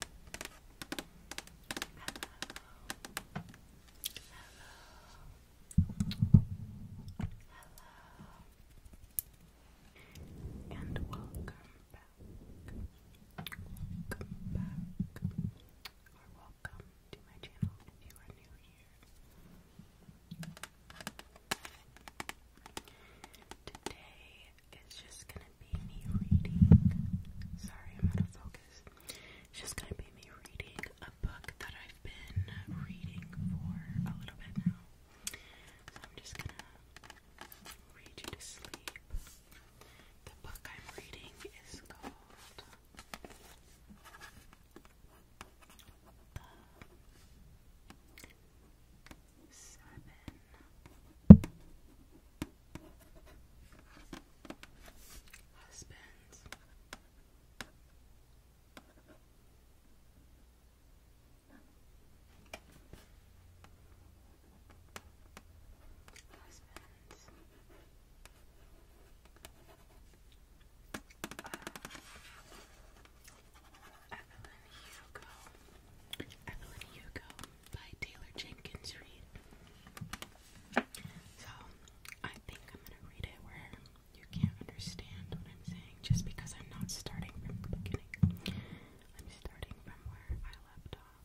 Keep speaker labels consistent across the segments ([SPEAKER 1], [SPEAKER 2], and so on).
[SPEAKER 1] Hello. And welcome back. Welcome back. Or welcome to my channel if you are new here. Today is just gonna be me reading. Sorry, I'm out of focus. It's just gonna be me reading a book that I've been reading for a little bit now. I'm just gonna read you to sleep. The book I'm reading is called seven husbands. Uh, Evelyn Hugo. Evelyn Hugo by Taylor Jenkins Reid. So I think I'm gonna read it where you can't understand what I'm saying just because I'm not starting from the beginning. I'm starting from where I left off.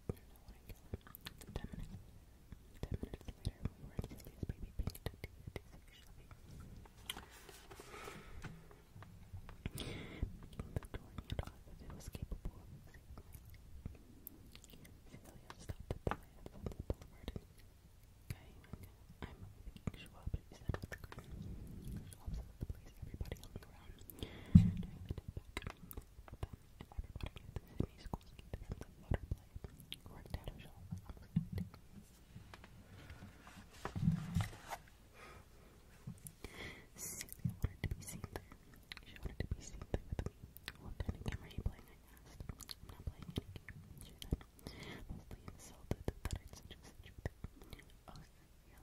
[SPEAKER 1] Ten minutes, ten minutes later, we were at Lily's baby pink to do the Shelby. Victorian was capable of saving stopped at the land the boulevard and I'm thinking Schwab, she said with a grin. the place, everybody on and wanted to be seen there. She wanted to be seen there with me. What kind of camera are you playing? I asked. I'm not playing any she said. Mostly insulted that I'd suggest such a thing. Oh, really?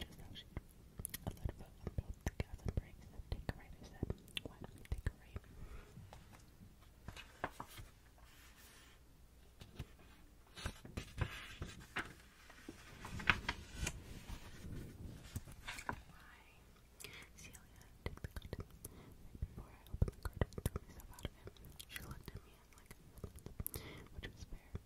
[SPEAKER 1] Just how she a lead foot on both the gas and Take a right, I Why not take a right? Why? Celia took the curtain. before I opened the curtain, threw myself out of it. She looked at me like, which was fair.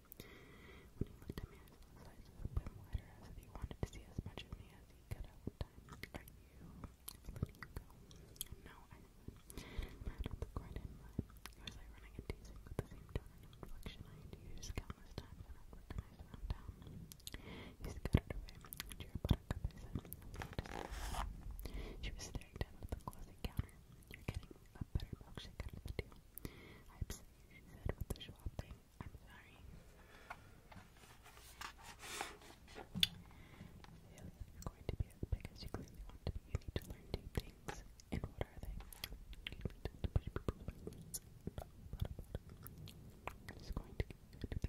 [SPEAKER 1] When he looked at me, his eyes opened wider as if he wanted to see as much of me as he could at one time. Are you? letting you go. No, I said. Mad with the quite in mind. It was ironic with the same tone and inflection I had used countless times when I recognized around town. She was staring down at the closet counter a I'm you going to be as big as you clearly want you need to learn two things. And what are they? You need to I'm just going to give you to you.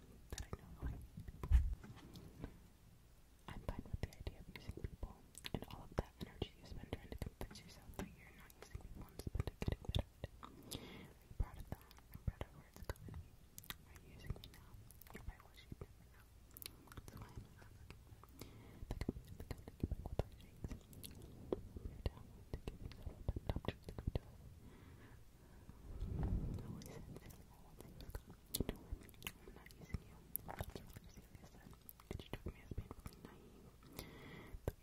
[SPEAKER 1] that I know I'm fine with the idea of using people and all of that energy you spend trying to convince yourself that you're not using people instead of getting better at it. proud of that? I'm proud of where it's going. me I am not The company is going to keep You're down to always I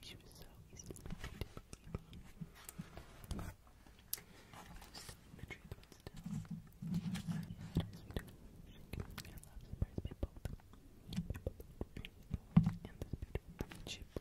[SPEAKER 1] you am not using you. That's really serious then. And she took me as painfully she was so easily to believe. I the truth, but still. I had a sweet shaking. I love surprised by both. And this beautiful chip. I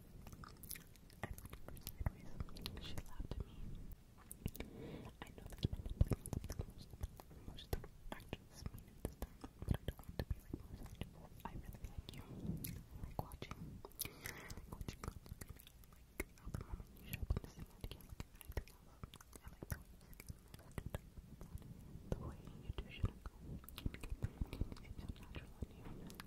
[SPEAKER 1] I She laughed at me. I know that's probably something most, most actors mean at this time, but I don't want to be like most actors. I really like you. I like watching. I like watching girls look at me. Like, how the moment you show up on the scene, I can't look at anything else. I like the way you look at me. The way you do shouldn't go. It's so natural on you.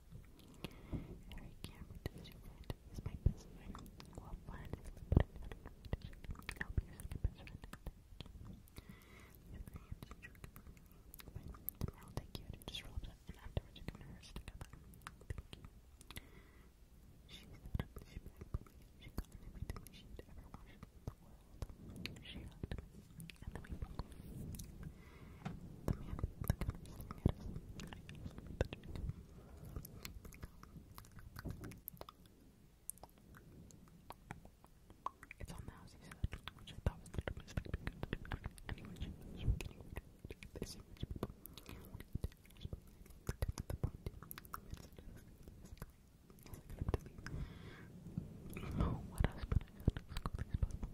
[SPEAKER 1] Eric Cameron to is my best friend. Well, fun, but I'm not a good friend. I'll be your best friend. Thank you. tomorrow i you just roll up and afterwards you can rehearse together. Thank you. She set up the ship She got in everything she'd ever wanted in the world. She hugged me. And it's on the house, he said, which I thought was the mistake because anyone should be getting they see rich people. The point is, I was like, I'm to leave. Oh, what else? But I got to go these people.